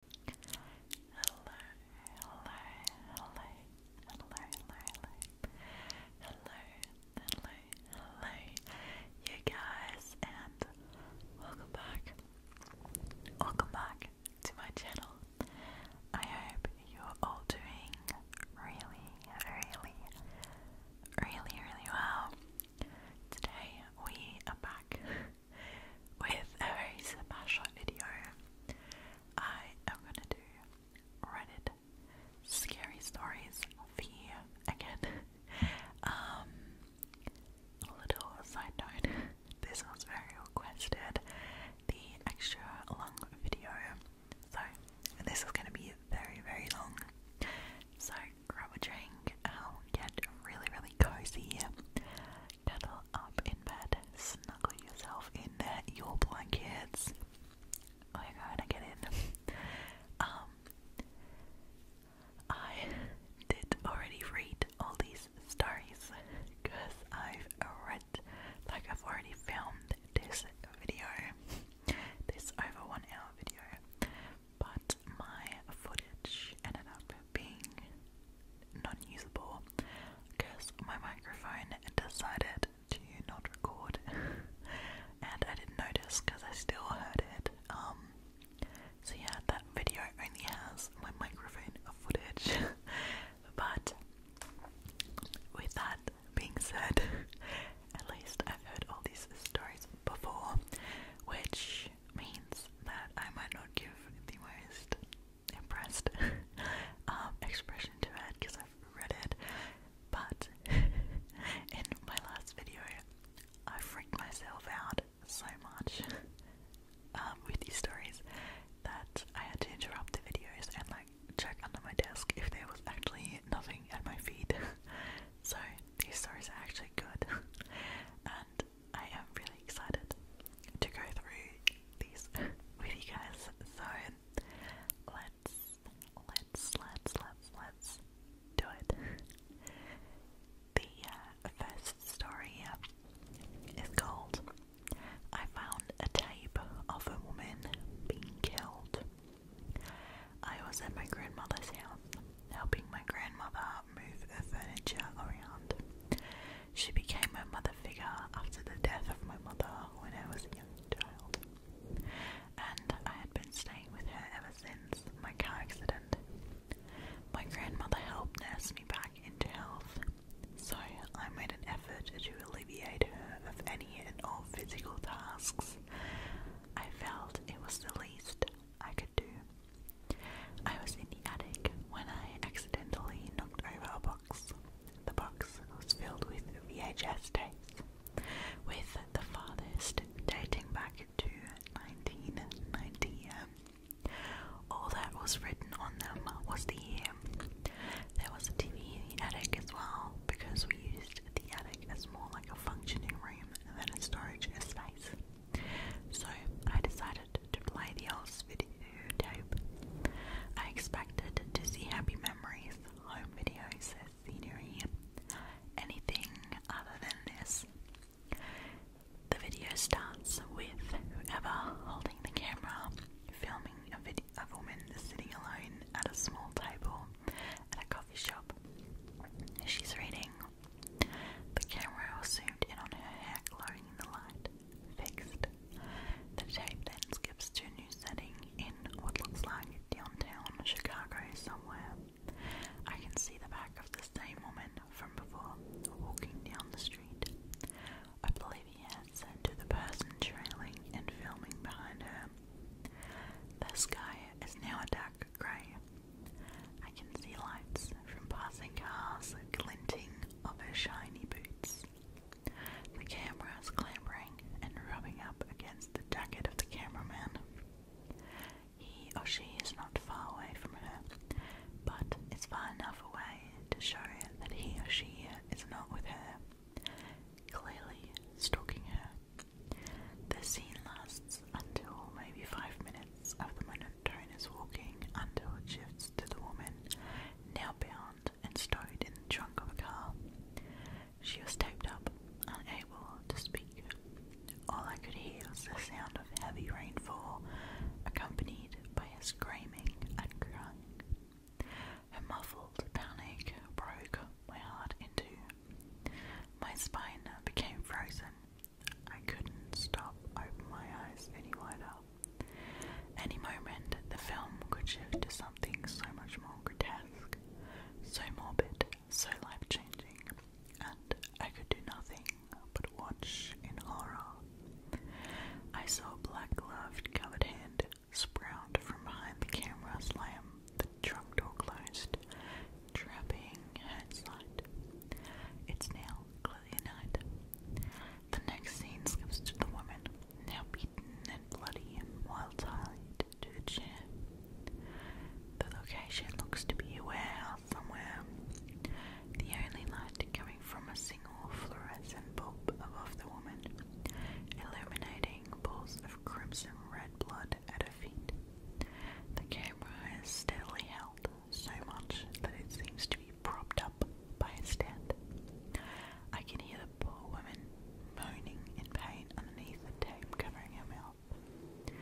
hello, hello, hello, hello, hello, hello, hello, hello, you guys, and welcome back, welcome back to my channel. I hope you're all doing really, really, really, really well. Today we are back with a very special video. I am gonna do Reddit scary stories for you again. Um, a little side note this was very requested the extra long video. So, this is gonna be very, very long. So, grab a drink, get really, really cozy cuddle up in bed, snuggle yourself in there, your blankets. Oh my god, I get in. um, I did already read all these stories because I've read, like, I've already filmed this video, this over one hour video, but my footage ended up being non-usable because my microphone decided to not record and I didn't notice because I still heard it. Um, so yeah, that video only has my microphone footage. but with that being said, at least I've heard all these stories before, which means that I might not give the worst impressed um, expression to add because I've read it, but in my last video, I freaked myself out so much um, with these stories that I had to interrupt the videos and like check under my desk if there was actually nothing at my feet. so these stories are actually good, and I am really excited to go through these with you guys. So let's, let's, let's, let's, let's do it. The uh, first story is called I Found a Tape of a Woman Being Killed. I was at my grandmother's house helping my grandmother move the furniture around. She became my mother figure after the death of my mother when I was a young child, and I had been staying with her ever since my car accident. My grandmother helped nurse me back into health, so I made an effort to alleviate her of any and all physical tasks. I felt it was the least I could do. I was in the attic when I accidentally knocked over a box. The box was filled with VHS tapes, with the farthest dating back to 1990. All that was written on them was the year. There was a TV in the attic as well, because we used the attic as more like a functioning room than a storage space. So I decided to play the Elves videotape. I expected to see happy memories, home videos, scenery, anything other than this. The video starts with whoever holding the camera filming a, woman sitting alone at a small table at a coffee shop. She's reading. The camera was zoomed in on her hair glowing in the light fixed. The tape then skips to a new setting in what looks like downtown Chicago somewhere. I can see the back of the same woman from before walking down the street. I believe he had said to the person trailing and filming behind her, The sky is now a dark grey. I can see lights from passing cars glinting of her shiny boots. The camera is clambering and rubbing up against the jacket of the cameraman. He or she is not far away from her, but it's far enough away to show that he or she is not with her, clearly stalking her. The scene lasts until maybe five minutes of the monotonous walking until it shifts to the woman, now bound and stowed in the trunk of a car. She was taped up, unable to speak. All I could hear was the sound of heavy rainfall, accompanied by a screaming and crying. Her muffled panic broke my heart into. My spine became frozen, I couldn't stop, open my eyes any wider. Any moment, the film could shift to something so much more grotesque, so morbid, so life changing, and I could do nothing but watch in horror. I saw a black gloved, covered hand sprout from behind the camera slam, the truck door closed, trapping her It's now clearly night. The next scene skips to the woman, now beaten and bloody and while tied to a chair. The location looks to be a warehouse somewhere. The only light coming from a single fluorescent bulb above the woman, illuminating pools of crimson red blood at her feet. The camera is steadily held so much that it seems to be propped up by a stand. I can hear the poor woman moaning in pain underneath the tape covering her mouth.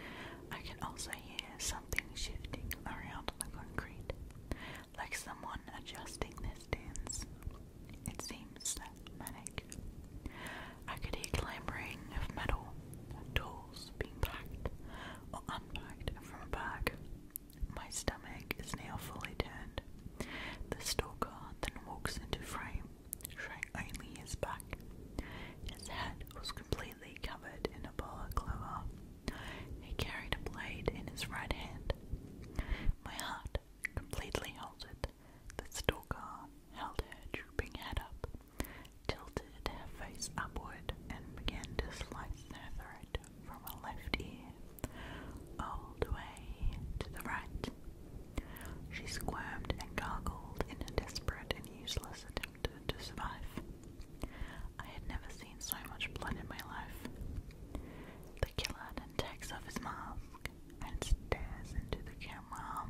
I can also hear something shifting around on the concrete, like someone adjusting their stands. It seems that manic. I could hear clambering of metal, tools being packed or unpacked from a bag, my stomach is now fully turned. The stalker then walks into frame, showing his back. His head was completely covered in a clover. He carried a blade in his right hand. My heart completely halted. The stalker held her drooping head up, tilted her face upward, and began to slice her throat from our left ear all the way to the right. She squirmed and gurgled in a desperate and useless attempt to survive. I had never seen so much blood in my life. The killer takes off his mask and stares into the camera,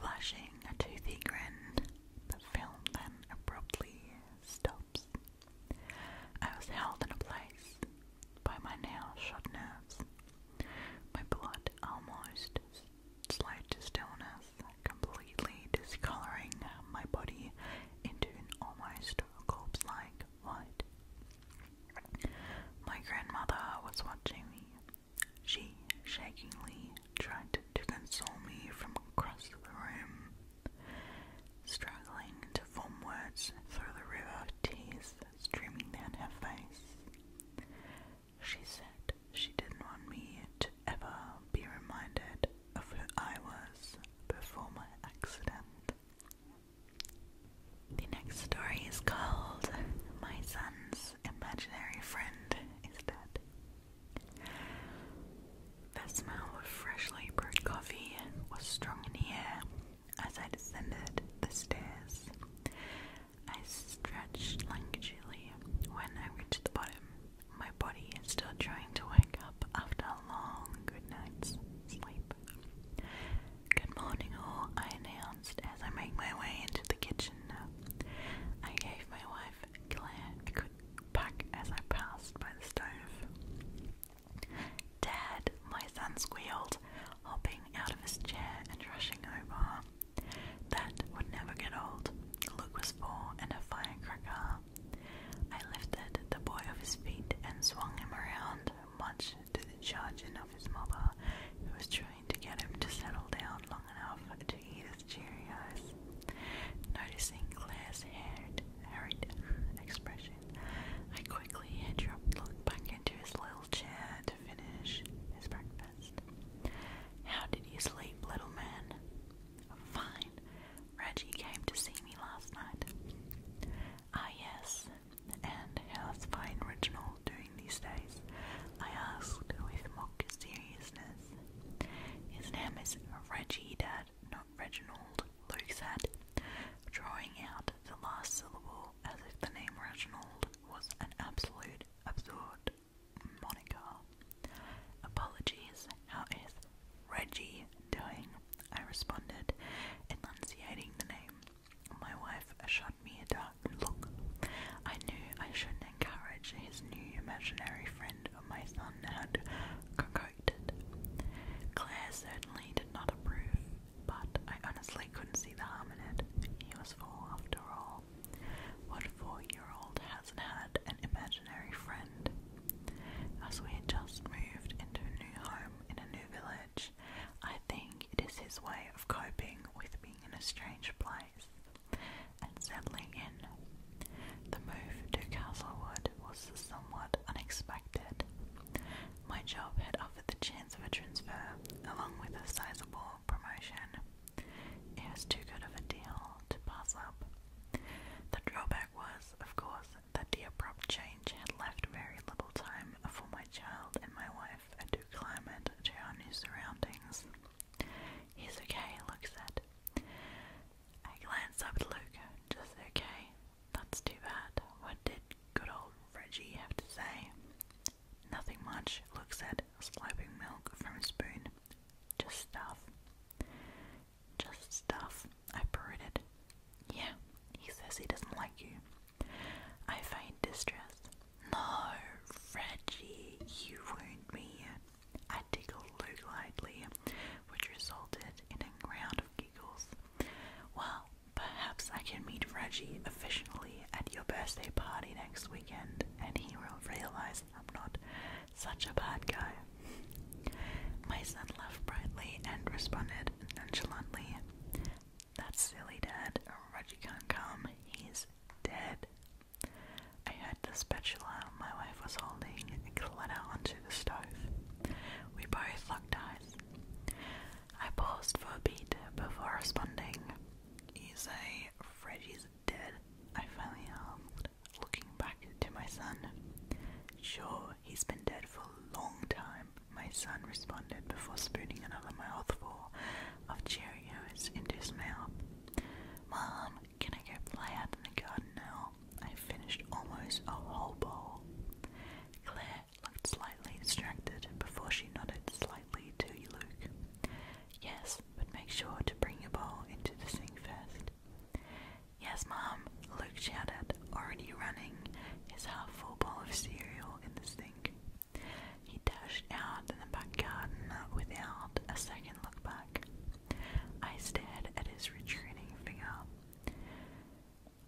flashing a toothy grin. The film then abruptly stops. I was held in a place by my now shot nerves. My blood almost slowed to stillness, completely discolouring my body into an almost corpse-like white. My grandmother was watching me. She shakingly tried to console me from across the room struggling to form words through the river tears streaming down her face. She said she didn't want me to ever be reminded of who I was before my accident. The next story is called My Son's Imaginary Friend is Dead. The smell of freshly brewed coffee was strong in the air as I descended the stairs. I stretched languidly when I reached the bottom, my body still trying to wake up after a long good night's sleep. Good morning, all, I announced as I made my way into the kitchen. I gave my wife a quick back as I passed by the stove. Dad, my son squealed, hopping out of his chair and rushing over. That would never get old. Luke was four and a firecracker. I lifted the boy of his feet and swung him around, much to the chagrin of his mother, who was trying to get him to settle down long enough to eat his Cheerios. Noticing Claire's haired, harried expression, I quickly dropped back into his little chair to finish his breakfast. How did you sleep, little man? Fine. Reggie came to see me last night. Ah, yes. And how's Fine Reginald doing these days? I asked with mock seriousness. His name is Reggie, Dad. Luthat, not Reginald, Luxat, drawing out the last syllable as if the name Reginald was an absolute absurd moniker. Apologies, how is Reggie doing? I responded, enunciating the name. My wife shot me a dark look. I knew I shouldn't encourage his new imaginary friend my son had corrected. Claire certainly did not approve, but I honestly couldn't see the harm in it. He was four after all. What four year old hasn't had an imaginary friend? As we had just moved into a new home in a new village, I think it is his way of coping with being in a strange place and settling in. The move to Castlewood was somewhat unexpected. My job had offered the chance of a transfer, along with a sizable promotion. It was too good of a deal to pass up. The drawback was, of course, that the abrupt change had left very little time for my child and my wife to acclimate to our new surroundings. He's okay, looks said. I glance up at Luca, just okay. That's too bad. What did good old Reggie have to say? Nothing much, Luke said, slurping milk from a spoon. Just stuff. Just stuff, I parroted. Yeah, he says he doesn't like you. I find distress. No, Reggie, you wound me. I giggled lightly, which resulted in a round of giggles. Well, perhaps I can meet Reggie officially at your birthday party next weekend, and he will realize I'm not such a bad guy. My son laughed brightly and responded nonchalantly, That's silly, Dad. Reggie can't come. He's dead. I heard the spatula my wife was holding clatter onto the stove. We both looked eyes. I paused for a beat before responding. You say Freddy's dead? I finally asked, looking back to my son. Sure, he's been dead for a long time, my son responded before spooning another mouthful of cherry Cheerios into his mouth. Mom, can I get fly out in the garden now? I finished almost a whole bowl. Claire looked slightly distracted before she nodded slightly to Luke. Yes, but make sure to bring your bowl into the sink first. Yes, Mom, Luke shouted, already running his half full bowl of cereal in the sink. He dashed out in the back garden without a second look back. I stared at his retreating figure.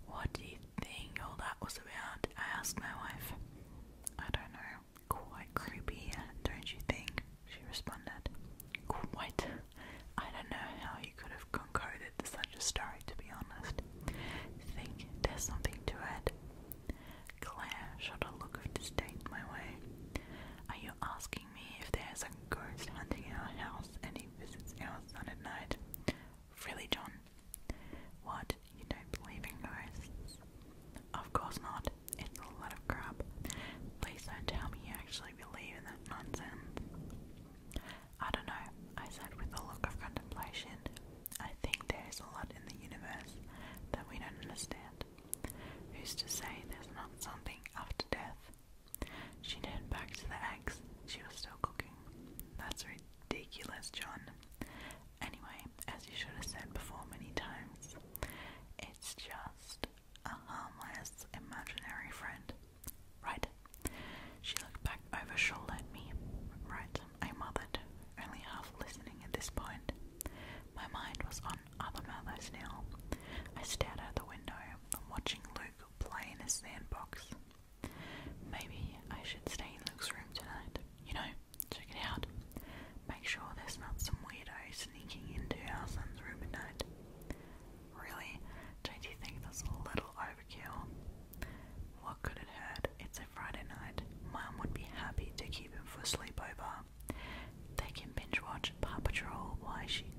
What do you think all that was about? I asked my wife. I don't know. Quite creepy, don't you think? She responded. Quite. I don't know how you could have concocted such a story, to be honest. Think there's something to it? Claire shot a look of disdain my way. Are you asking? me if there's a ghost hunting our house and he visits our son at night. Really, John? What? You don't believe in ghosts? Of course not. It's a lot of crap. Please don't tell me you actually believe in that nonsense. I don't know, I said with a look of contemplation. I think there is a lot in the universe that we don't understand. Who's to say there's not something after death? She turned back to the eggs. She was still cooking. That's ridiculous, John. Anyway, as you should have said before many times, it's just a harmless imaginary friend. Right? She looked back over shoulder at me. Right, I mothered, only half listening at this point. My mind was on other matters now. I stared out the window, watching Luke play in a sandbox. Maybe I should stay in Luke's room tonight. You know, check it out. Make sure there's not some weirdo sneaking into our son's room at night. Really? Don't you think that's a little overkill? What could it hurt? It's a Friday night. Mom would be happy to keep him for a sleepover. They can binge watch Paw Patrol. Why she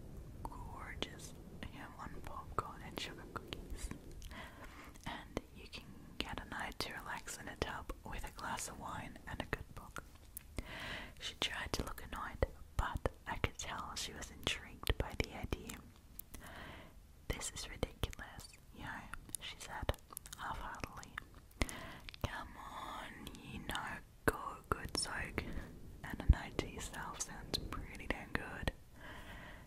gorgeous? him on popcorn and sugar cookies. And you can get a night to relax in a tub with a glass of wine and a good book. She tried to look annoyed, but I could tell she was intrigued by the idea. This is ridiculous, you she said half heartedly. Come on, you know, go good soak, and the night to yourself sounds pretty damn good.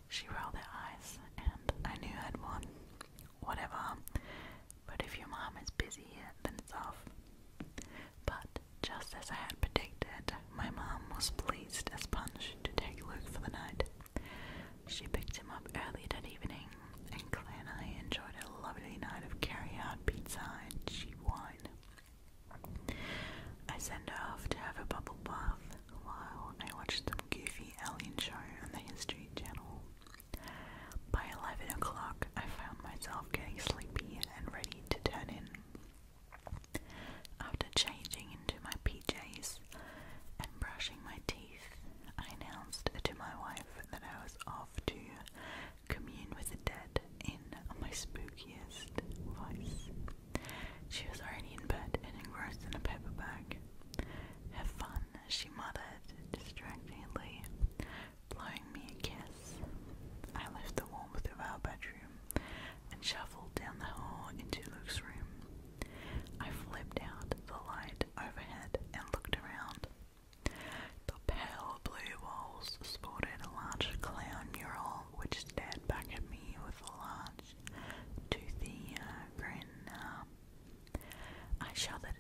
She rolled her eyes, and I knew I'd won. Whatever. But if your mom is busy, then it's off. But just as I had predicted, my mom was pleased as punch to take Luke for the night. She picked him up early that evening, and Claire and I enjoyed a lovely night of carry-out pizza and cheap wine. I sent her off to have a bubble bath while I watched some goofy alien show on the History Channel. By 11 o'clock, I found myself getting sleepy and ready to turn in. After changing into my PJs and brushing my teeth, I announced to my wife that I was off to commune with the dead in my spookiest voice. She was already in bed and engrossed in a paper bag. Have fun, she muttered distractedly, blowing me a kiss. I left the warmth of our bedroom and shuffled down the hall into Luke's room. I flipped out the light overhead and looked around. The pale pale blue walls sported a large clown mural which stared back at me with a large, toothy uh, grin. Um, I shuddered.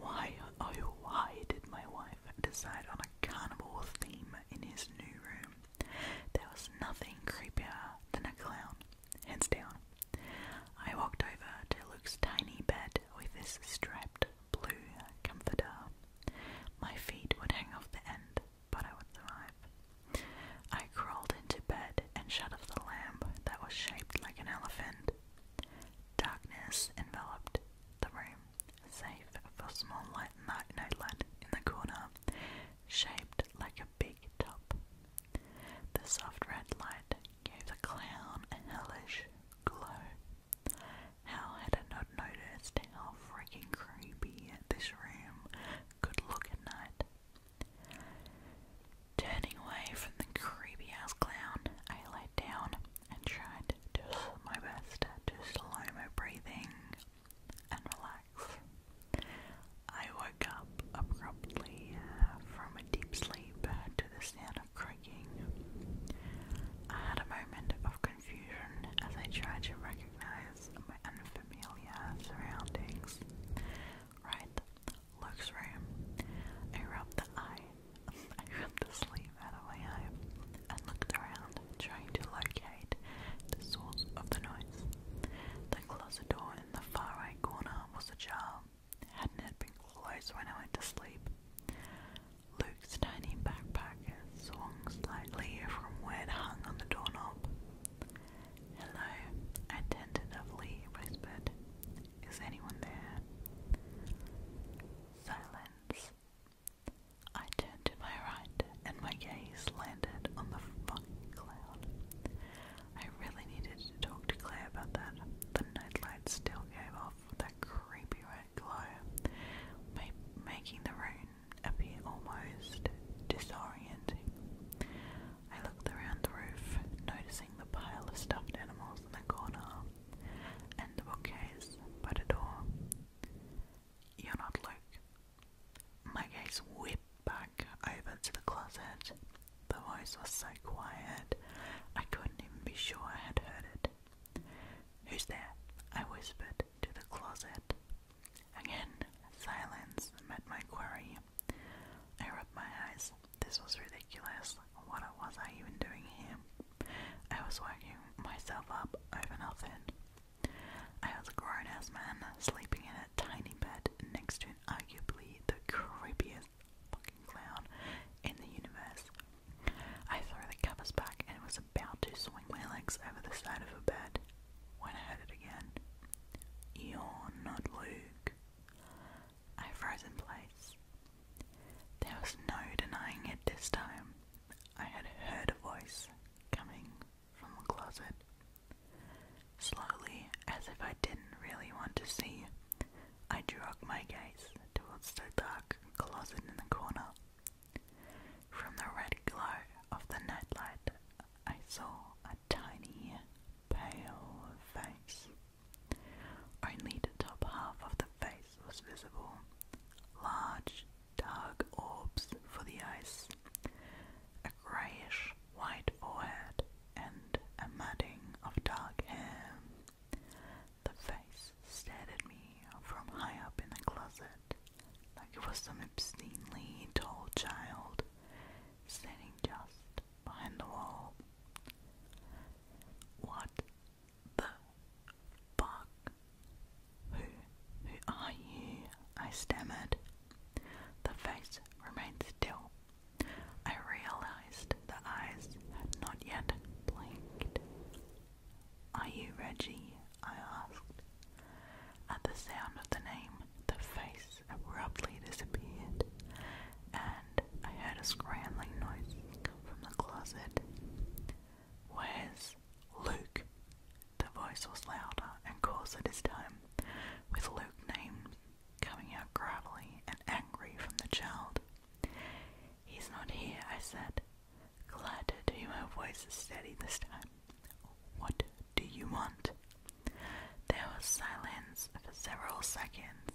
Why, oh, why did my wife decide on a carnival theme in his new room? There was nothing creepier than a clown, hands down. I walked over to Luke's tiny bed with his striped blue comforter. My feet would hang off the end, but I would survive. I crawled into bed and shut off the lamp that was shaped like an elephant. Darkness enveloped the room, save for a small light nightlight in the corner, shaped like a big top. The soft red light gave the clown a hellish glow how had I not noticed how freaking creepy this room could look at night? Turning away from the creepy ass clown, I lay down and tried to do my best to slow my breathing and relax. I woke up abruptly uh, from a deep sleep to the sound of creaking. I had a moment of confusion as I tried to recognize my unfamiliar surroundings. Right, looks room. I rubbed the eye, I rubbed the sleeve out of my eye, and looked around, trying to locate the source of the noise. The closet door in the far right corner was ajar. Hadn't it been closed when I went to sleep? Luke's tiny backpack swung slightly from where it hung on the doorknob. Hello, I tentatively whispered. Is anyone there? Silence. I turned to my right and my gaze landed on the fucking cloud. I really needed to talk to Claire about that. The nightlight still gave off that creepy glow, making the room appear almost disorienting. I looked around the roof, noticing the pile of stuffed animals in the corner and the bookcase by the door. You're not Luke. My gaze whipped back over to the closet. The voice was so quiet, I couldn't even be sure I had heard it. Who's there? I whispered to the closet Again, silence met my query. I rubbed my eyes. This was ridiculous. What was I even doing here? I was working myself up over nothing. I was a grown ass man sleeping in a tiny bed next to arguably the creepiest fucking clown in the universe. I threw the covers back and was about to my legs over the side of a bed, When I at it again. You're not Luke. I froze in place. There was no denying it this time. I had heard a voice coming from the closet. Slowly, as if I didn't really want to see, I drew up my gaze towards the dark closet in the corner. From the red glow of the nightlight, I saw a tiny, pale face. Only the top half of the face was visible. Large, dark orbs for the eyes, a greyish white forehead, and a matting of dark hair. The face stared at me from high up in the closet like it was some obscenely tall child standing just behind the wall. What the fuck? Who, who are you? I stammered. The face remained still. I realized the eyes had not yet blinked. Are you Reggie? I asked. At the sound of the name, the face abruptly disappeared, and I heard a scrambling noise come from the closet. Where's Luke? The voice was louder and coarser this time, with Luke's name coming out gravelly and angry from the child. He's not here, I said. Glad to hear my voice steady this time. What do you want? There was silence for several seconds.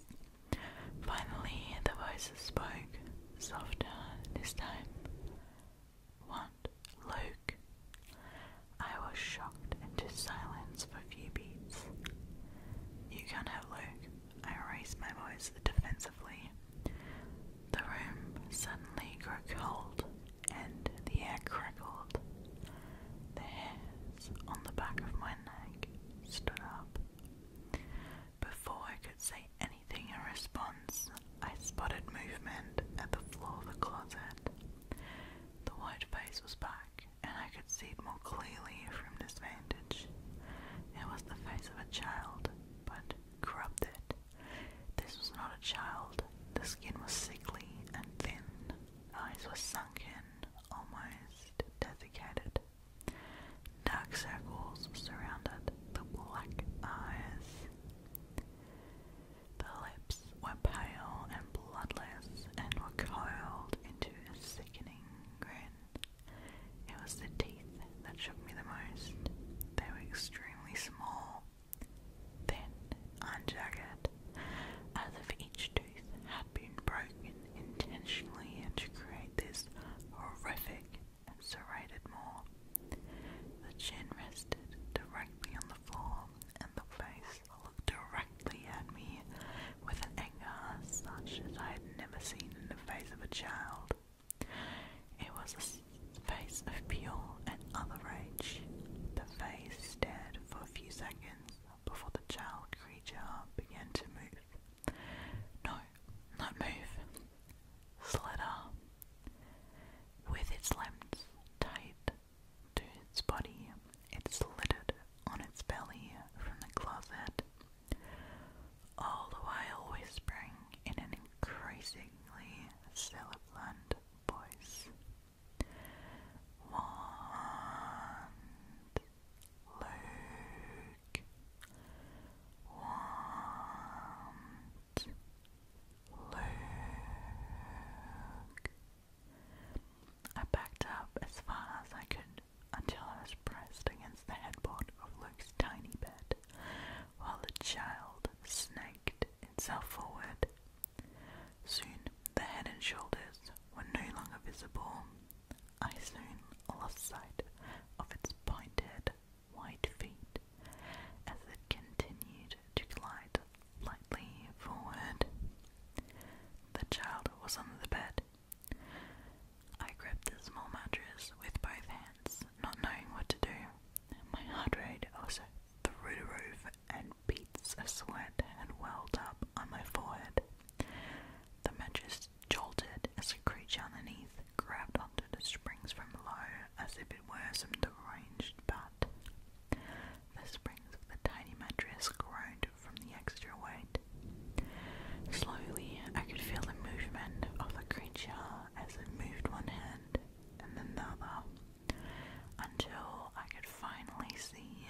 Finally, the voices spoke, softer this time. What, Luke? I was shocked into silence for a few beats. You can have Luke. I raised my voice to the room suddenly grew cold, and the air crackled. The hairs on the back of my neck stood up. Before I could say anything in response, I spotted movement at the floor of the closet. The white face was back, and I could see it more clearly from this vantage. It was the face of a child, but corrupted. This was not a child. The skin was sickly and thin. Eyes were sunken, almost desiccated. Dark circles surrounded the black eyes. The lips were pale and bloodless and were coiled into a sickening grin. It was the that shook me the most. They were extremely small, thin, unjagged, as if each tooth had been broken intentionally to create this horrific serrated maw. The chin rested directly on the floor, and the face looked directly at me with an anger such as I had never seen in the face of a child. It was a face of pure and other rage. The face stared for a few seconds before the child creature began to move. No, not move. Slither. With its limbs tied to its body, it slitted on its belly from the closet, all the while whispering in an increasing exceedingly sibilant voice. Want Luke. Want Luke. I backed up as far as I could until I was pressed against the headboard of Luke's tiny bed while the child snaked itself forward. Soon the head and shoulders were no longer visible. I soon lost sight of its pointed, white feet as it continued to glide lightly forward. The child was under the bed. I gripped the small mattress with both hands not knowing what to do. My heart rate also threw a roof, and beads of sweat had welled up on my forehead. The matches jolted as a creature underneath grabbed onto the springs from below as if it were some deranged bat. The springs of the tiny mattress groaned from the extra weight. Slowly, I could feel the movement of the creature as it moved one hand and the other until I could finally see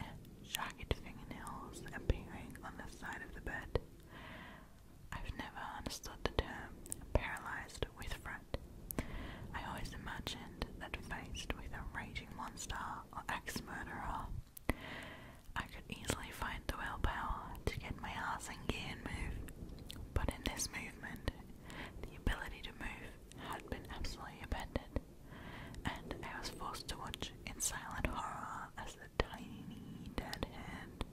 jagged fingernails appearing on the side of the bed. I've never understood the term paralyzed with fright. I always imagined that faced with a raging monster or ex murderer, I could easily find the willpower to get my ass and gear and move. But in this movement, the ability to move had been absolutely abandoned, and I was forced to watch in silent horror as the tiny dead hand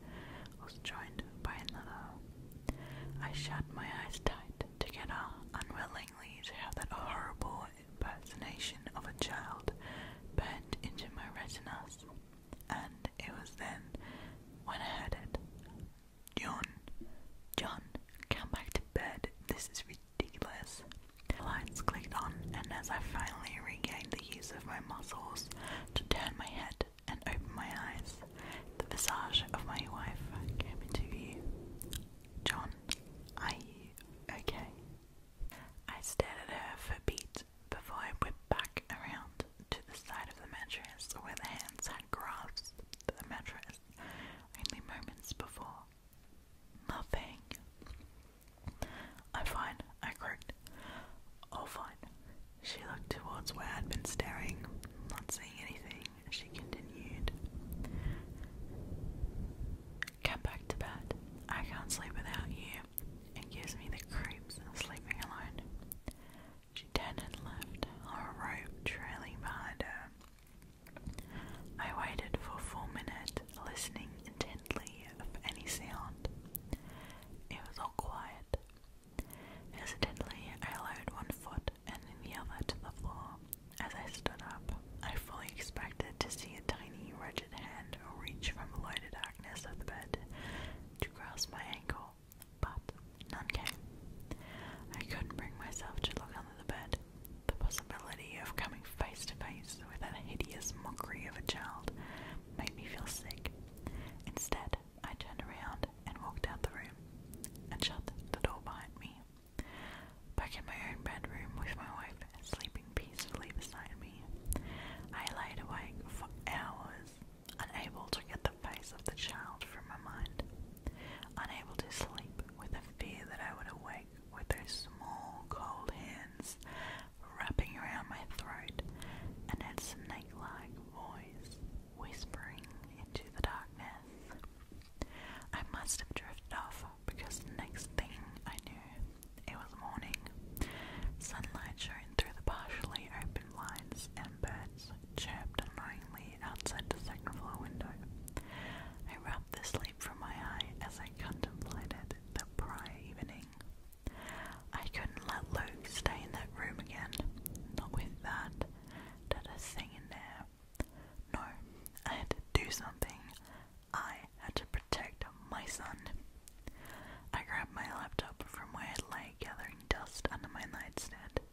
was joined by another. I shut my eyes tight to get together, unwillingly to have that horrible impersonation of a child burned into my retinas, and it was then when I had it John, John, come back to bed. This is ridiculous. The lights clicked on, and as I finally regained the use of my muscles to turn my head and open my eyes, the visage of my wife came into view. John, are you okay? I stared at her for a beat before I whipped back around to the side of the mattress where the hands had grasped the mattress only moments before. Nothing. I'm fine, I croaked. Oh, fine. She looked towards where I'd been staring, not seeing anything. She continued. Get back to bed. I can't sleep without you. It gives me the creeps sleeping alone. She turned and left, her rope trailing behind her. I waited for four minutes, listening intently for any sound. It was all quiet. Hesitantly, I lowered one foot and then the other to the floor. As I stood up, I fully expected to see a tiny, wretched hand reach from below the darkness of the bed to grasp my ankle but none came. I couldn't bring myself to look under the bed. The possibility of coming face to face with that hideous mockery of a child made me feel sick. Instead, I turned around and walked out the room and shut the door behind me. Back in my own bedroom with my wife sleeping peacefully beside me, I laid awake for hours unable to get the face of the child from my mind, unable to sleep with the fear that I would awake with those small, cold hands wrapping around my throat and that snake like voice whispering into the darkness. I must have drifted off because the next thing I knew, it was morning. Sunlight shone through the partially open blinds, and birds chirped annoyingly outside the second floor window. I rubbed the sleep from my eye as I contemplated the prior evening. I couldn't let Luke stay in that room again. Not with that, that a thing in there. No, I had to do something. I had to protect my son. I grabbed my laptop from where it lay gathering dust under my nightstand.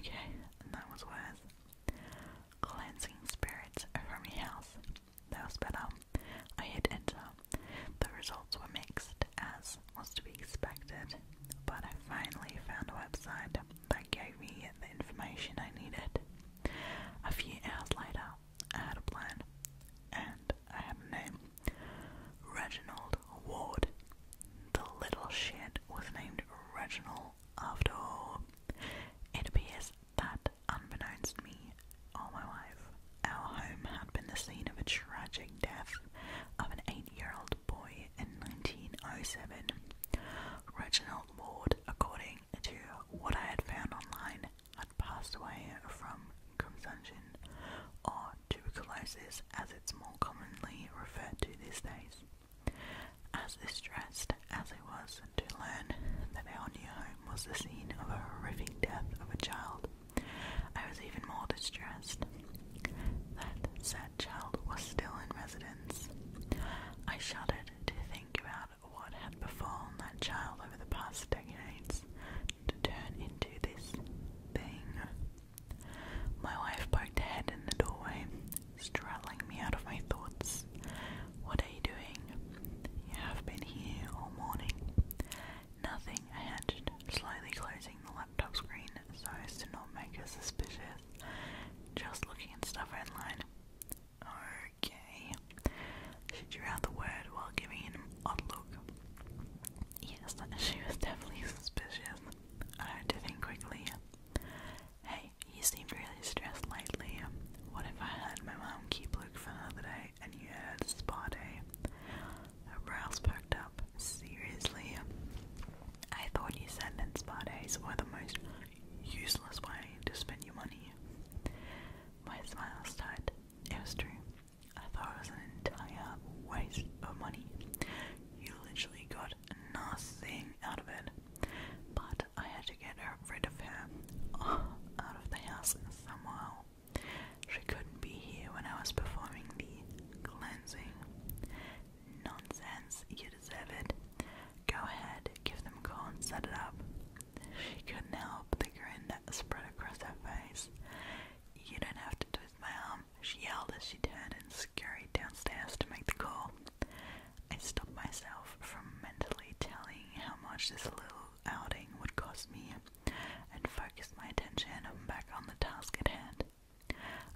Okay, that was worse. Cleansing spirits from your house. That was better. I hit enter. The results were mixed, as was to be expected, but I finally found a website that gave me the information I needed. A few hours later, I had a plan, and I had a name Reginald Ward. The little shit was named Reginald after It appears that, unbeknownst to me or my wife, our home had been the scene of a tragic death of an eight year old boy in 1907. Reginald Ward, according to what I had found online, had passed away from consumption, or tuberculosis as it's more commonly referred to these days. As distressed as I was to learn that our new home was the scene of a horrific death of a child, I was even more distressed that said child was still in residence. I shuddered to think about what had befallen that child over the past decades to turn into this thing. My wife poked her head in the doorway, straddling me out of my thoughts. What are you doing? You have been here all morning. Nothing, I hedged, slowly closing the laptop screen so as to not make her suspicious. Just looking at stuff online. Okay. She drew out the word while giving it an odd look. Yes, she was definitely suspicious. I had to think quickly. Hey, you seemed really stressed lately. What if I had my mom keep Luke for another day and you had spa day? Her brows up. Seriously? I thought you said that spa days were the most useless way to spend your money. My smile was tight. It was true. I thought it was an entire waste of money. You literally got nothing out of it. But I had to get her, rid of her out of the house somehow. She couldn't be here when I was performing the cleansing. Nonsense, you deserve it. Go ahead, give them a call and set it up. She couldn't help the grin that spread across her face. You don't have to twist my arm, she yelled as she turned and scurried downstairs to make the call. I stopped myself from mentally telling how much this little outing would cost me and focused my attention back on the task at hand.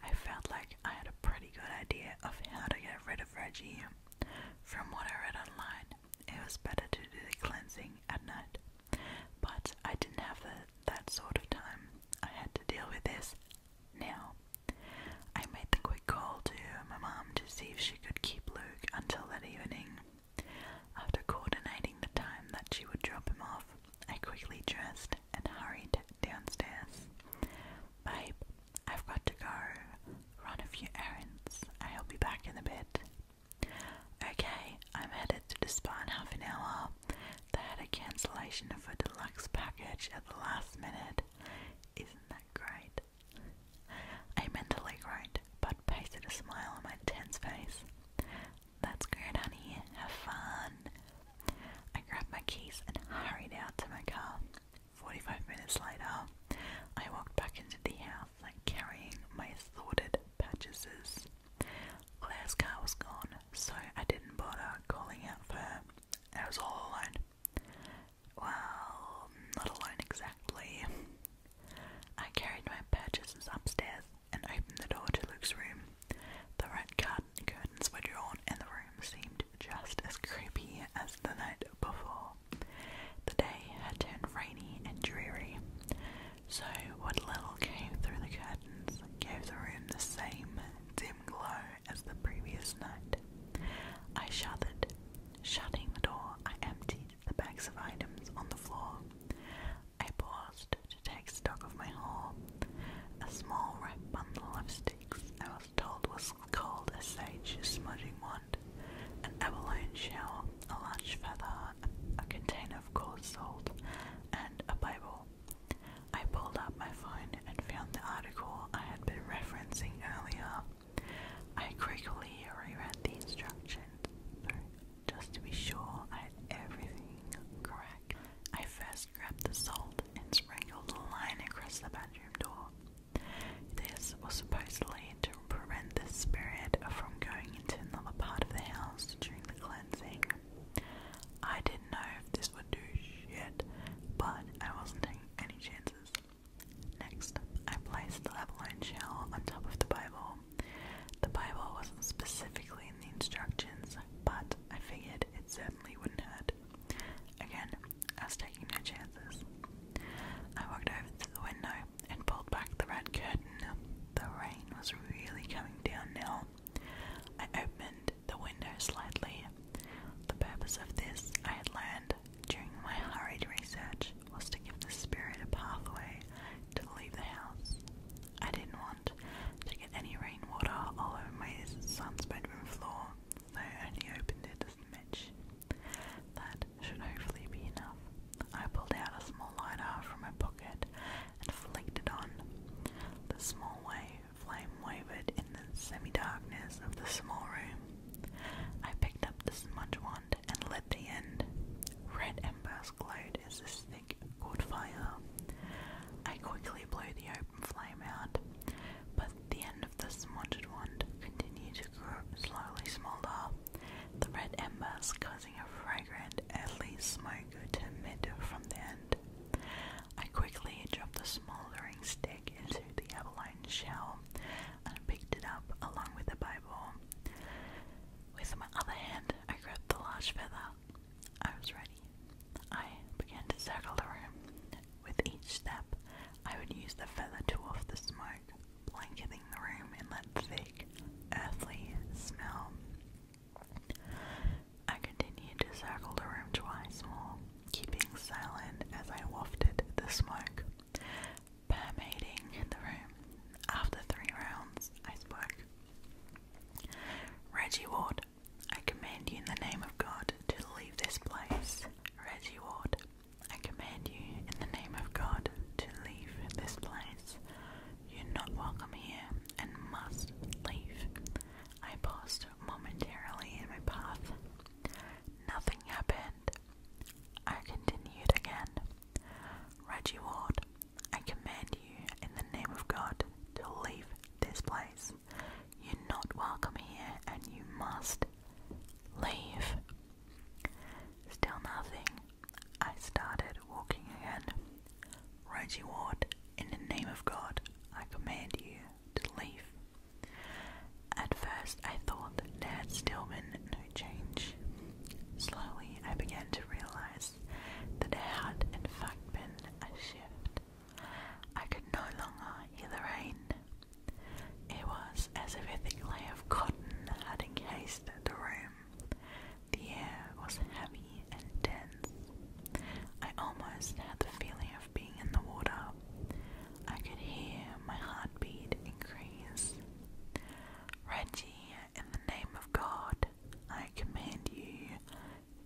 I felt like I had a pretty good idea of how to get rid of Reggie. From what I read online, it was better to do the cleansing at night. But I didn't have that sort of time. I had to deal with this now. I made the quick call to my mum to see if she could keep Luke until that evening. After coordinating the time that she would drop him off, I quickly dressed and hurried downstairs. Babe, I've got to go. Run a few errands. I'll be back in a bit. Okay, I'm headed to the spa in half an hour. They had a cancellation of a deluxe package at the last minute. Isn't that great? I mentally groaned, but pasted a smile on my tense face. That's good, honey. Have fun. I grabbed my keys and hurried out to my car. Forty-five minutes later, I walked back into the house carrying my assorted purchases. Claire's car was gone, so I didn't bother calling out for her. I was all alone. Well, not alone exactly. I carried my purchases upstairs and opened the door to Luke's room. The red card curtains were drawn, and the room seemed just as creepy as the night before. The day had turned rainy and dreary, so what little came through the curtains gave the room the same dim glow as the previous night. I shuddered. Shutting the door, I emptied the bags of items on the floor. I paused to take stock of my haul. A small red bundle of sticks I was told was called a sage smudging wand, an abalone shell, a large feather, a container of coarse salt, and a Bible. I pulled up my phone and found the article I had been referencing earlier. I quickly reread the instructions, just to be sure I had everything correct. I first grabbed the salt and sprinkled a line across the bedroom door. This was supposed to lead prevent the spirit from going into another part of the house during the cleansing. I didn't know if this do shit, but I wasn't taking any chances. Next, I placed the Abalone shell on top of the Bible. The Bible wasn't specifically in the instructions, but I figured it certainly wouldn't hurt. Again, I was taking no chances. I walked over to the window and pulled back the red curtain. The rain was really coming down now, I opened the window slightly. The purpose of this, I had learned during my hurried research, was to give the spirit a pathway to leave the house. I didn't want to get any rainwater all over my son's bedroom floor, so I only opened it as a match. That should hopefully be enough. I pulled out a small lighter from my pocket and flicked it on. The small way the Flame wavered in the semi-darkness of the small room. I picked up the smudge wand and lit the end. Red embers glowed as this thick caught fire. I quickly blew the open flame out, but the end of the smudged wand continued to grow, slowly smaller. the red embers causing a fragrant, earthy smoke to emit from the end. I quickly dropped the smoldering stick into the abalone shell and picked it up along with the Bible. With my other hand, I grabbed the large feather. I was ready. I began to circle the room. With each step, I would use the feather to off the smoke, blanketing the room and let the thick, earthly smell. I continued to circle the room twice more, keeping silent as I wafted the smoke permeating the room. After three rounds, I spoke. Reggie Ward, I command you in the name of God to leave this place. Reggie Ward, I command you in the name of God to leave this place. You're not welcome here and must leave. I paused momentarily in my path. Nothing happened. I continued again. Reggie Ward, I command you in the name of God to leave this place. You're not welcome here and you must leave. Still nothing. I started walking again. Reggie Ward, in the name of God, I command you to leave. At first, I thought Laird Stillman no change. Slowly, I began to realize that there had, in fact, been a shift. I could no longer hear the rain. It was as if a thick layer of cotton had encased the room. The air was heavy and dense. I almost had the feeling of being in the water. I could hear my heartbeat increase. Reggie, in the name of God, I command you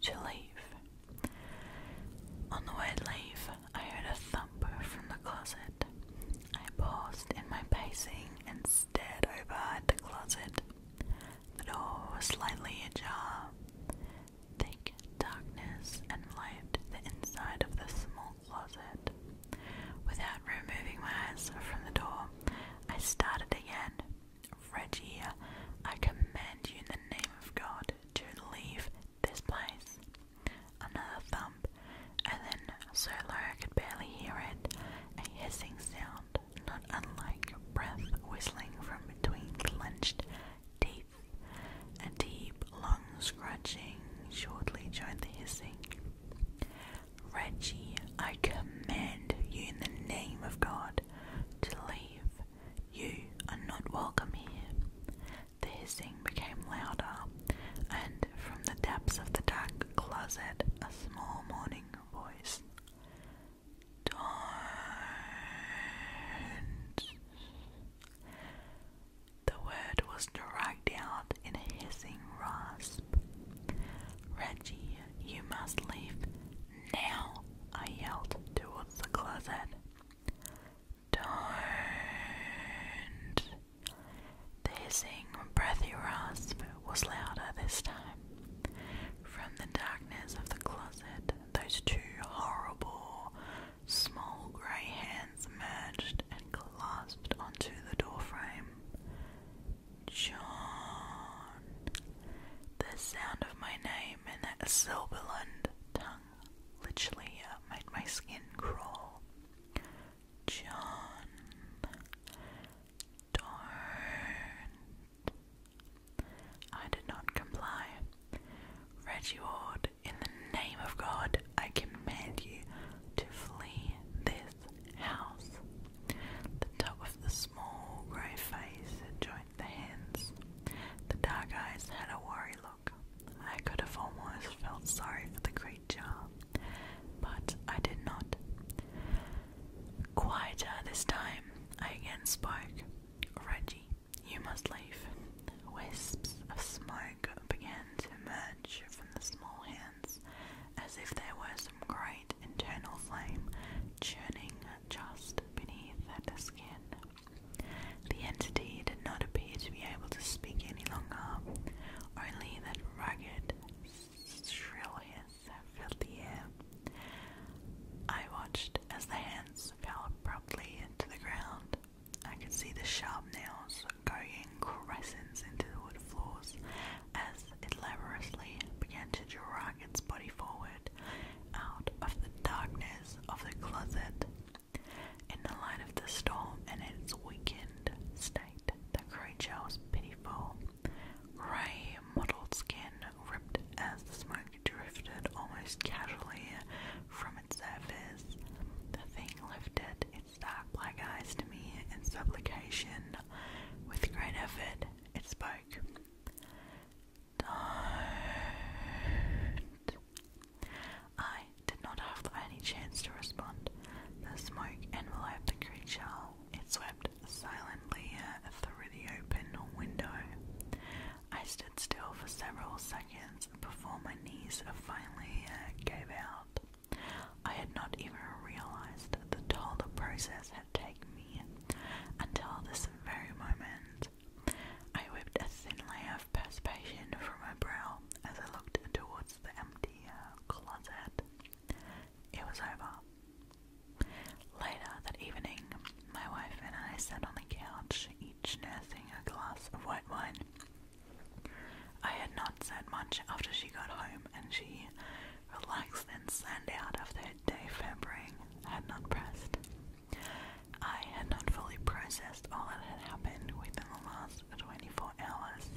to leave. On the word leave, I heard a thumper from the closet. I paused in my pacing and stared over at the closet. The door was slightly ajar. Thick darkness enveloped the inside of the small closet. Without removing my eyes from the door, I started again. Reggie, I command you in the name of God to leave this place. Another thump, and then, so low I could barely hear it, a hissing sound, not unlike breath whistling from between clenched a deep long scratching shortly joined the hissing. Reggie, I command you in the name of God to leave. You are not welcome here. The hissing became louder, and from the depths of the dark closet, a small mourning voice. Don't. The word was dragged out in a hissing rasp. Reggie, you must leave now, I yelled towards the closet. Don't. The hissing, breathy rasp was louder this time. From the darkness of the closet, those two horrible, small grey hands merged and clasped onto the doorframe. John. The sound of my name in that sibilant tongue literally uh, made my skin crawl. John. do I did not comply. Regiord, in the name of God, I command you to flee this house. The top of the small grey face had joined the hands. The dark eyes had a worried look. I could have almost felt sorry for the creature, but I did not. Quieter this time, I again spoke. Reggie, you must leave. Wisps of smoke began to emerge from the small hands, as if there were some great internal flame churning just beneath the skin. The entity did not appear to be able to speak any longer, only that ragged, shrill hiss filled the air. I watched as the hands fell abruptly into the ground. I could see the sharp nails going crescents into the wood floors as it laboriously began to drag its body forward out of the darkness of the closet. In the light of the storm and its weakened state, the creature was pitiful. Grey, mottled skin ripped as the smoke drifted almost casually from its surface. The thing lifted its dark black eyes to me in supplication. With great effort, it spoke. Don't. I did not have any chance to respond. The smoke enveloped the creature. It swept silently through the open window. I stood still for several seconds before my knees finally uh, gave out. I had not even realized the toll the process had taken me until this very moment. I whipped a thin layer of perspiration from my brow as I looked towards the empty uh, closet. It was over. Later that evening, my wife and I sat on the couch nursing a glass of white wine. I had not said much after she got home, and she, relaxed and sand out after her day februarying, had not pressed. I had not fully processed all that had happened within the last 24 hours.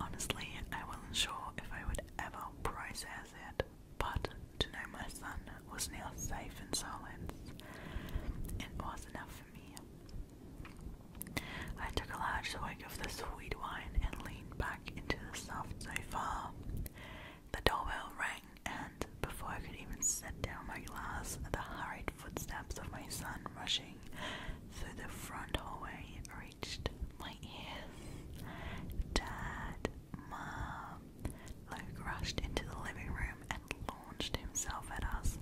Honestly, I wasn't sure if I would ever process it, but to know my son was now safe in silence, it was enough for me. I took a large swig of the sweet wine and leaned back into the soft sofa. The doorbell rang, and before I could even set down my glass, the hurried footsteps of my son rushing through the front hallway reached my ears. Dad, Mom. Luke rushed into the living room and launched himself at us.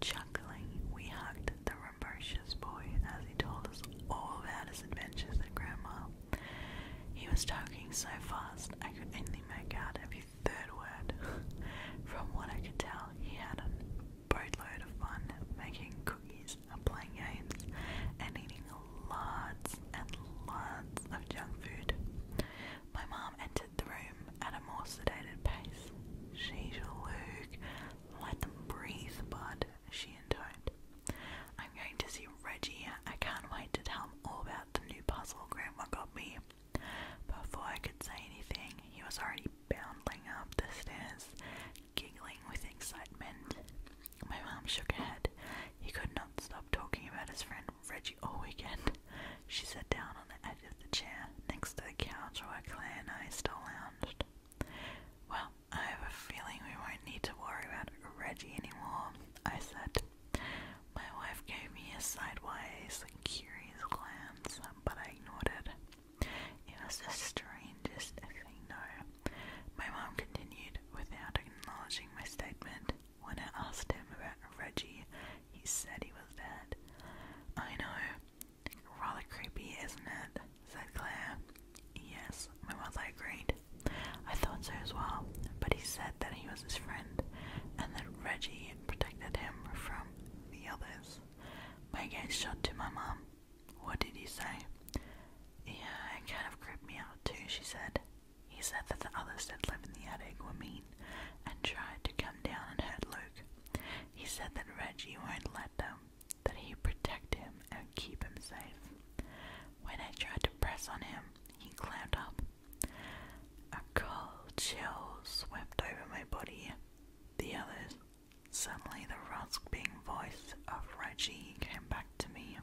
Chuckling, we hugged the rambunctious boy as he told us all about his adventures at Grandma. He was talking so fast I could only make out every third word. From what I could tell, he had a boatload of fun making cookies and playing games and eating lots and lots of junk food. My mom entered the room at a more sedated pace. She's Luke. Let them breathe, bud, she intoned. I'm going to see Reggie. I can't wait to tell him all about the new puzzle Grandma got me. Before I could say anything, he was already bounding up the stairs, giggling with excitement. My mom shook her head. He could not stop talking about his friend Reggie all weekend. She sat down on the edge of the chair next to the couch where Claire and I still lounged. Well, I have a feeling we won't need to worry about Reggie anymore, I said. My wife gave me a sideways, curious glance, but I ignored it. It was the strangest thing, No, My mom continued without acknowledging my statement. When I asked him about Reggie, he said he was dead. I know. Rather creepy, isn't it? said Claire. Yes, my mother agreed. I thought so as well, but he said that he was his friend and that Reggie protected him from the others. May gave shot to my mum. What did you say? Yeah, it kind of creeped me out too, she said. He said that the others that lived in the attic were mean and tried to come down and hurt Luke. He said that Reggie won't let them, that he protect him and keep him safe. When I tried to press on him, he clammed up. A cold chill swept over my body. The others. Suddenly the rasping voice of Reggie came back to me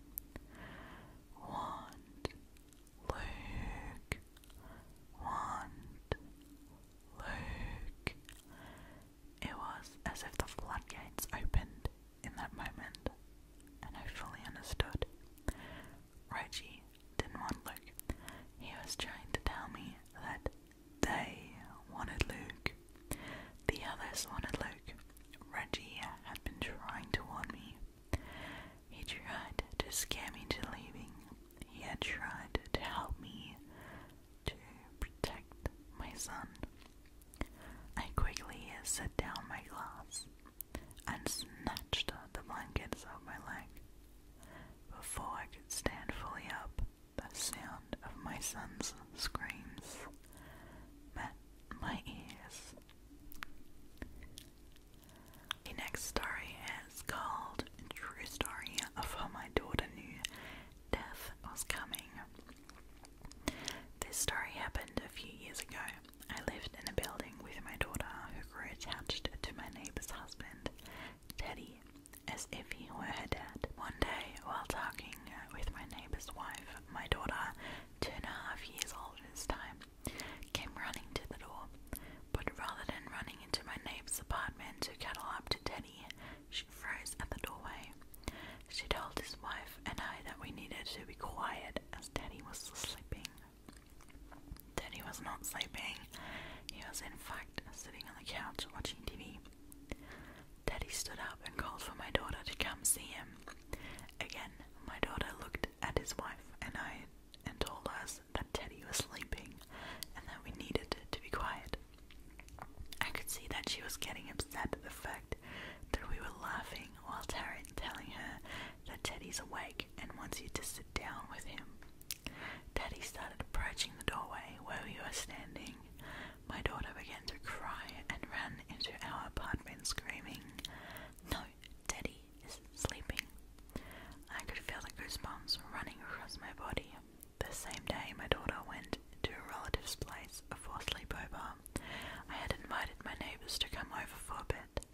want Luke want Luke It was as if the floodgates opened in that moment and I fully understood. Reggie didn't want Luke. He was trying to tell me that they wanted Luke. The others wanted Luke. Reggie had been trying to warn me. He tried to scare me to leaving. He had tried to help me to protect my son. I quickly set down my glass and snatched the blankets off my leg. Before I could stand fully up, the sound of my son's screams met my ears. The next story is called True Story of How My Daughter Knew Death Was Coming. This story happened a few years ago. I lived in a building with my daughter who grew attached to my neighbor's husband, Teddy, as if he were her dad. One day, while talking with my neighbor's wife, my daughter, two and a half years old this time, came running to the door, but rather than running into my neighbor's apartment to cuddle up to Teddy, she froze at the doorway. She told his wife and I that we needed to be quiet as Teddy was sleeping. Teddy was not sleeping. He was in fact sitting on the couch watching TV. Teddy stood up and called for my daughter to come see him. Again, my daughter looked looked at his wife and I and told us that Teddy was sleeping and that we needed to be quiet. I could see that she was getting upset at the fact that we were laughing while Taryn telling her that Teddy's awake and wants you to sit down with him. Teddy started approaching the doorway where we were standing. My daughter began to cry and ran into our apartment screaming, No, Teddy, is sleeping. I could feel the goosebumps running across my body. The same day, my daughter went to a relative's place for a sleepover. I had invited my neighbours to come over for a bit.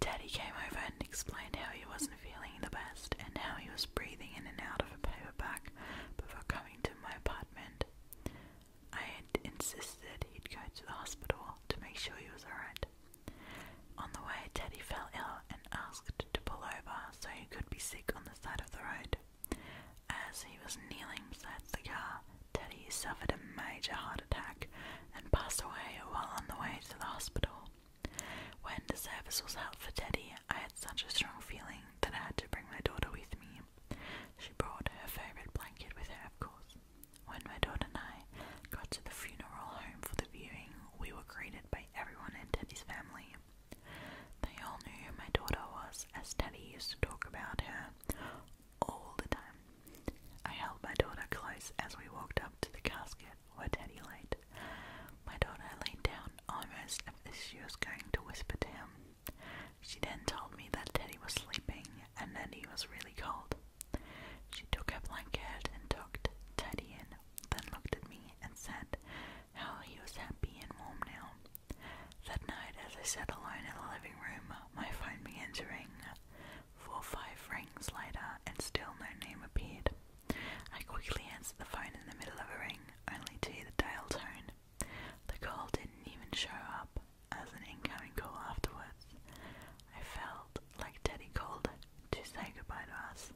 Daddy came over and explained how he wasn't feeling the best and how he was breathing in and out of a paper bag before coming to my apartment. I had insisted he'd go to the hospital to make sure he was alright. On the way, Teddy fell ill and asked to pull over so he could be sick on the side of the road. As he was kneeling beside the car, Teddy suffered a major heart attack and passed away while on the way to the hospital. When the service was held for Teddy, I had such a strong feeling that I had to bring my daughter with me. She brought her favourite blanket with her, of course. When my daughter and I got to the funeral home for the viewing, we were greeted by everyone in Teddy's family. They all knew who my daughter was, as Teddy used to talk about her all the time. I held my daughter close as we walked up to the casket where Teddy laid. My daughter leaned down almost as if she was going to whisper to him. She then told me that Teddy was sleeping and Neddy was really cold. She took a blanket and tucked Teddy in, then looked at me and said how he was happy and warm now. That night, as I sat alone in the living room, my phone began to ring. Four or five rings later, and still no name appeared. I quickly answered the phone in the middle of a ring, only to hear the dial tone. The call didn't even show up as an incoming call afterwards. I felt like Teddy called to say goodbye to us.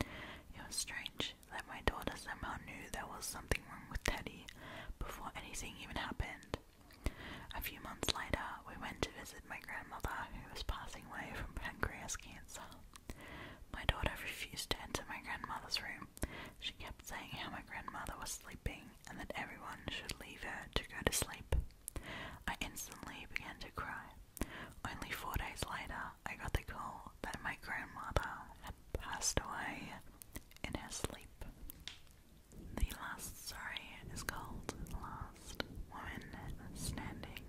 It was strange that my daughter somehow knew there was something wrong with Teddy before anything even happened. A few months later, we went to visit my grandmother who was passing away from pancreatic cancer. My daughter refused to enter my grandmother's room. She kept saying how my grandmother was sleeping and that everyone should leave her to go to sleep. I instantly began to cry. Only four days later, I got the call that my grandmother had passed away in her sleep. The last story is called Last Woman Standing.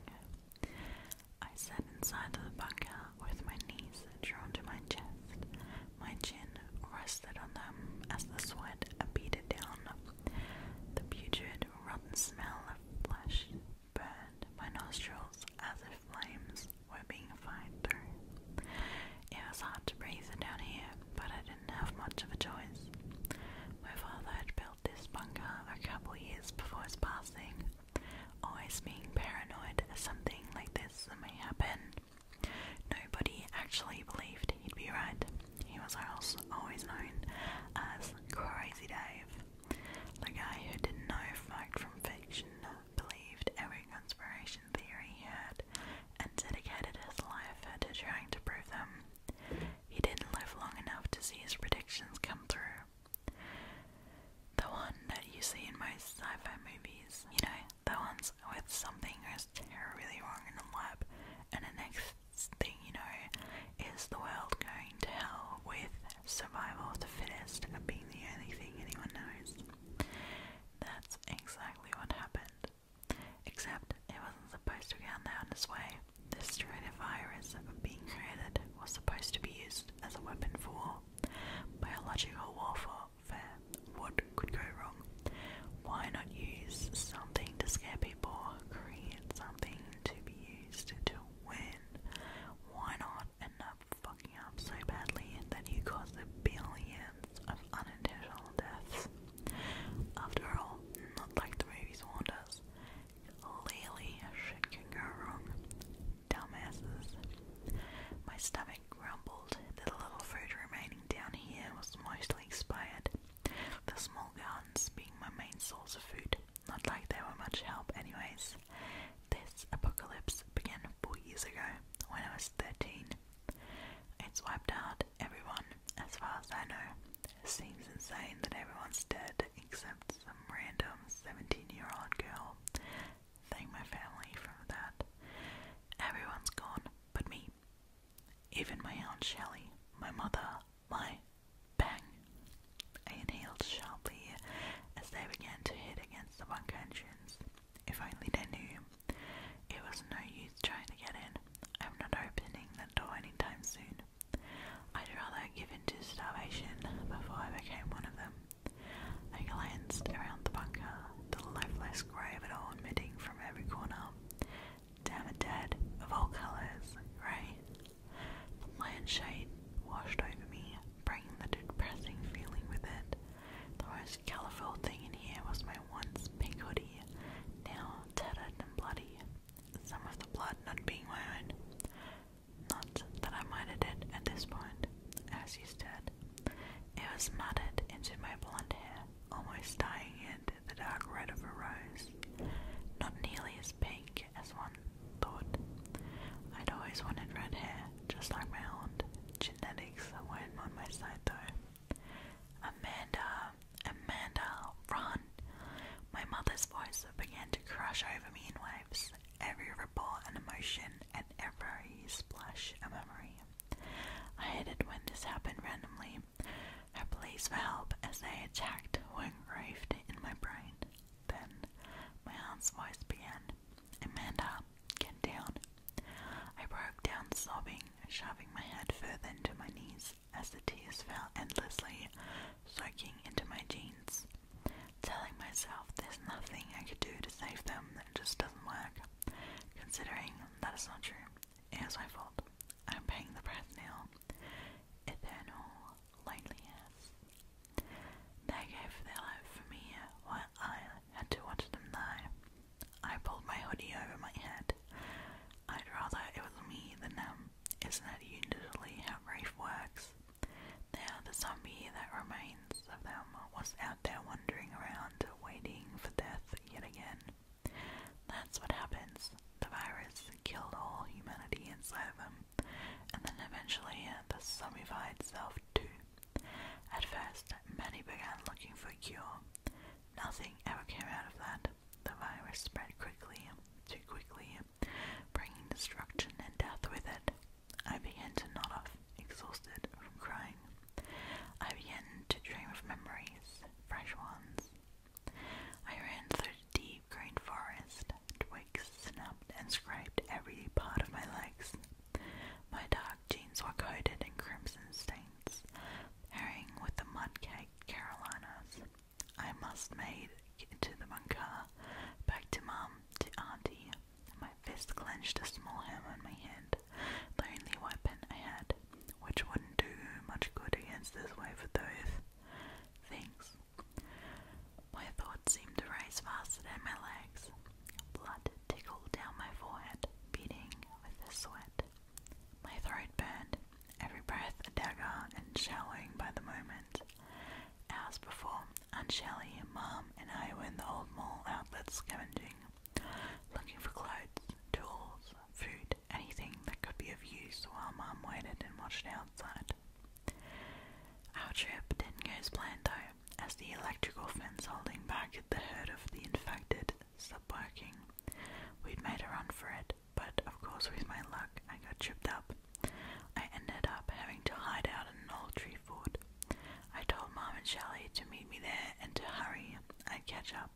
I sat inside the bunker with my knees drawn to my chest, my chin rested on them as the sweat beaded down the putrid, rotten smell of flesh burned my nostrils as if flames were being fired through. It was hard to breathe down here, but I didn't have much of a choice. My father had built this bunker a couple years before his passing, always being paranoid that something like this may happen. Nobody actually believed he'd be right. He was also always known as Crazy Dave, the guy who didn't know fact from fiction, believed every conspiracy theory he heard, and dedicated his life to trying to prove them. He didn't live long enough to see his predictions come true. The one that you see in most sci-fi movies, you know, the ones with something goes terribly wrong in the lab, and the next thing, you know, is the world going to hell with survival of the fittest and being the only thing anyone knows? That's exactly what happened. Except it wasn't supposed to go down this way. This strata virus being created was supposed to be used as a weapon for biological warfare. What could go wrong? why not use something to scare people? Create something to be used to win. Why not end up fucking up so badly that you cause the billions of unintentional deaths? After all, not like the movies warned us. Clearly, shit can go wrong. Dumbasses. My stomach grumbled the little food remaining down here was mostly expired. The small gardens being my main source of food, not like they were much help, anyways. This apocalypse began four years ago when I was 13. It's wiped out everyone, as far as I know. It seems insane that everyone's dead except some random 17 year old girl. Thank my family for that. Everyone's gone but me. Even my aunt Shelley, my mother, my bang. I inhaled sharply as they began to hit against the bunker entrance. If only they knew. It was no use trying to get in. I'm not opening the door anytime soon. I'd rather give in to starvation before I became one of them. I glanced around the bunker, the lifeless grey of all emitting from every corner to have of all colours, right? The lion shade washed over me, bringing the depressing feeling with it. The most colourful thing in here was my once pink hoodie, now tattered and bloody, some of the blood not being my own. Not that I minded it at this point, as you said. It was matted into my blonde hair, almost dyeing it the dark red of a rose, not nearly as pink as one thought. I'd always wanted red hair, just like my aunt. Genetics weren't on my side though. Amanda, Amanda, run! My mother's voice began to crush over me in waves, every ripple and emotion, and every splash a memory. I hated when this happened randomly. I pleas for help as they attacked engraved in my brain. Then my aunt's voice began, Amanda, get down. I broke down sobbing, shoving my head further into my knees as the tears fell endlessly, soaking into my jeans. Telling myself there's nothing I could do to save them, it just doesn't work. Considering that is not true, it my fault. I'm paying the price now. Eternal loneliness. They gave their life for me while I had to watch them die. I pulled my hoodie over my head. I'd rather it was me than them. Isn't that usually how grief works? Now the zombie that remains of them was out there wandering around, waiting for death yet again. That's what happens. The virus killed all humanity inside of them, and then eventually uh, the zombified itself too. At first, many began looking for a cure. Nothing ever came out of that. The virus spread quickly, too quickly, bringing destruction and death with it. I began to nod off, exhausted from crying. I began to dream of memories, fresh ones, I ran through the deep green forest. Twigs snapped and scraped every part of my legs. My dark jeans were coated in crimson stains, pairing with the mud-caked Carolinas. I must made it to the bunker, back to Mum, to Auntie. My fist clenched a small hammer in my hand, the only weapon I had which wouldn't do much good against this wave of those things. My thoughts seemed to race faster than my legs. Blood tickled down my forehead, beating with the sweat. My throat burned, every breath a dagger and showering by the moment. Hours before, Aunt Shelley, Mom, and I were in the old mall outlet scavenging, looking for clothes, tools, food, anything that could be of use while Mom waited and watched outside. Our trip didn't go as planned though, as the electrical fence holding back the herd of the infected stopped working. We'd made a run for it, but of course, with my luck, I got tripped up. I ended up having to hide out in an old tree fort. I told Mom and Shelley to meet me there and to hurry, I'd catch up.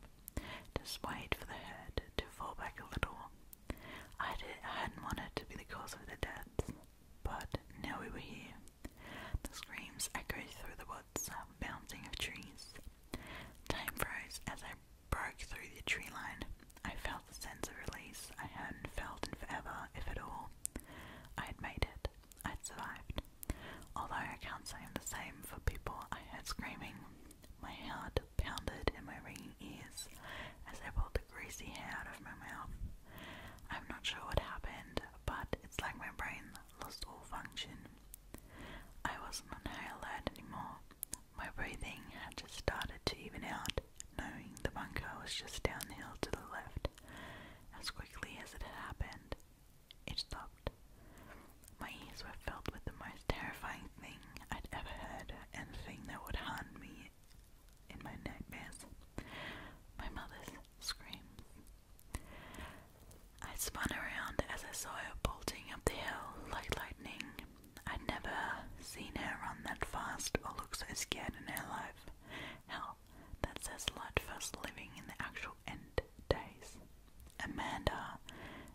Just wait for the herd to fall back a little. I, hadn't wanted to be the cause of their deaths, but now we were here. The screams echoed through the woods, um, bouncing of trees. Time froze as I broke through the tree line. I felt the sense of release I hadn't felt in forever, if at all. I had made it. I'd survived. Although I can't say the same for people I heard screaming. My heart pounded in my ringing ears as I pulled the greasy hair out of my mouth. I'm not sure what happened, but it's like my brain lost all function. I wasn't on high anymore. My breathing had just started to even out, knowing the bunker was just downhill to the left. As quickly as it had happened, it stopped. My ears were filled with the most terrifying thing I'd ever heard, and a thing that would haunt me in my nightmares. My mother's scream. I spun around as I saw her bolting up the hill like lightning. I'd never seen her run that fast or look so scared in her life. Hell, that says a lot us living in the actual end days. Amanda,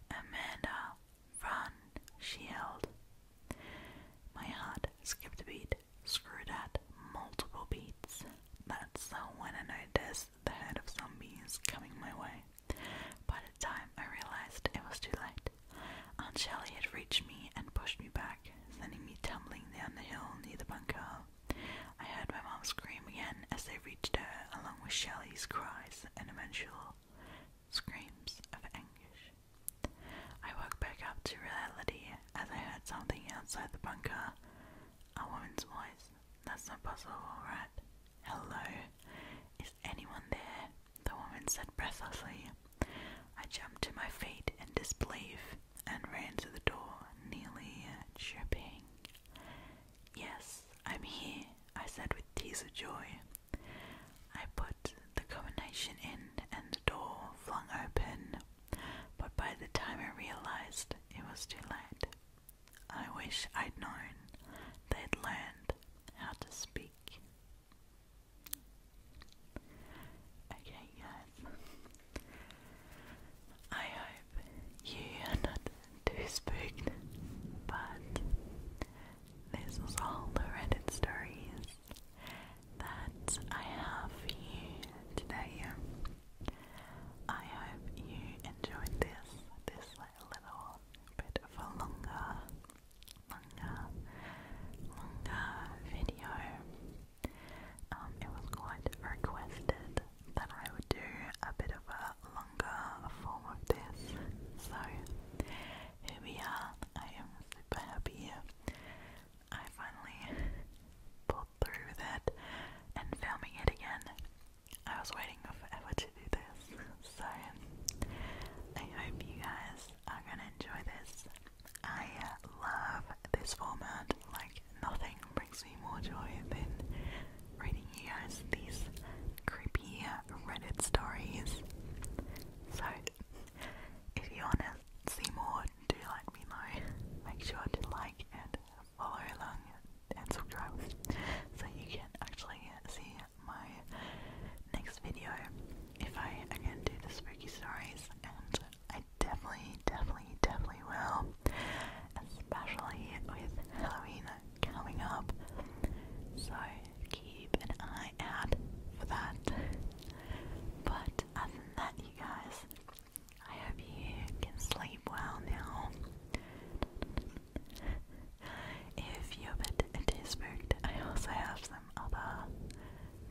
Amanda, Run, she yelled. My heart skipped a beat, screwed at multiple beats. That's when I noticed the herd of zombies coming my way. By the time I realized it was too late, Aunt Shelley had reached me and pushed me back, sending me tumbling down the hill near the bunker. I heard my mom scream again as they reached her, along with Shelley's cries and eventual screams of anguish. I woke back up to reality as I heard something outside the bunker. A woman's voice. That's not possible, right? Hello? Is anyone there? The woman said breathlessly. I jumped to my feet in disbelief and ran to the door, nearly tripping. Yes, I'm here, I said with tears of joy. I put the combination in and the door flung open, but by the time I realized it was too late, I wish I'd known they'd learned how to speak. Okay, guys, I hope you are not to be spooked, but this was all the Reddit stories that I have for you today. I hope you enjoyed this, this little bit of a longer, longer, longer video. Um, it was quite requested that I would do a bit of a longer a form of this. So here we are. I am super happy. I finally pulled through that and filming it again. I was waiting forever to do this. So I hope you guys are gonna enjoy this. I love this format. Like nothing brings me more joy than reading you guys these creepy Reddit stories. So, if you wanna see more, do let me know. Make sure to like and follow along and subscribe so you can actually see my next video if I again do the spooky stories and I definitely, definitely, definitely will. Especially with Halloween coming up. So keep an eye out for that. But other than that, you guys, I hope you can sleep well now. If you're a bit too I also have some other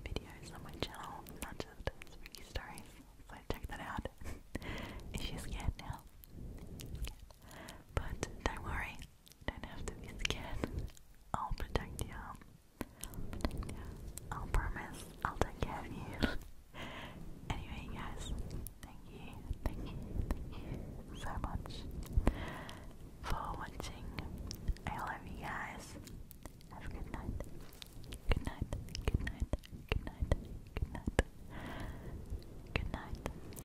videos on my channel, not just spooky stories, so check that out if you're scared now. But don't worry, do have to be scared. I'll protect you. I'll protect you. I'll promise. I'll take you. anyway, guys, thank you, thank you, thank you so much for watching. I love you guys. Have a good night. Good night. Good night. Good night. Good night. Good night.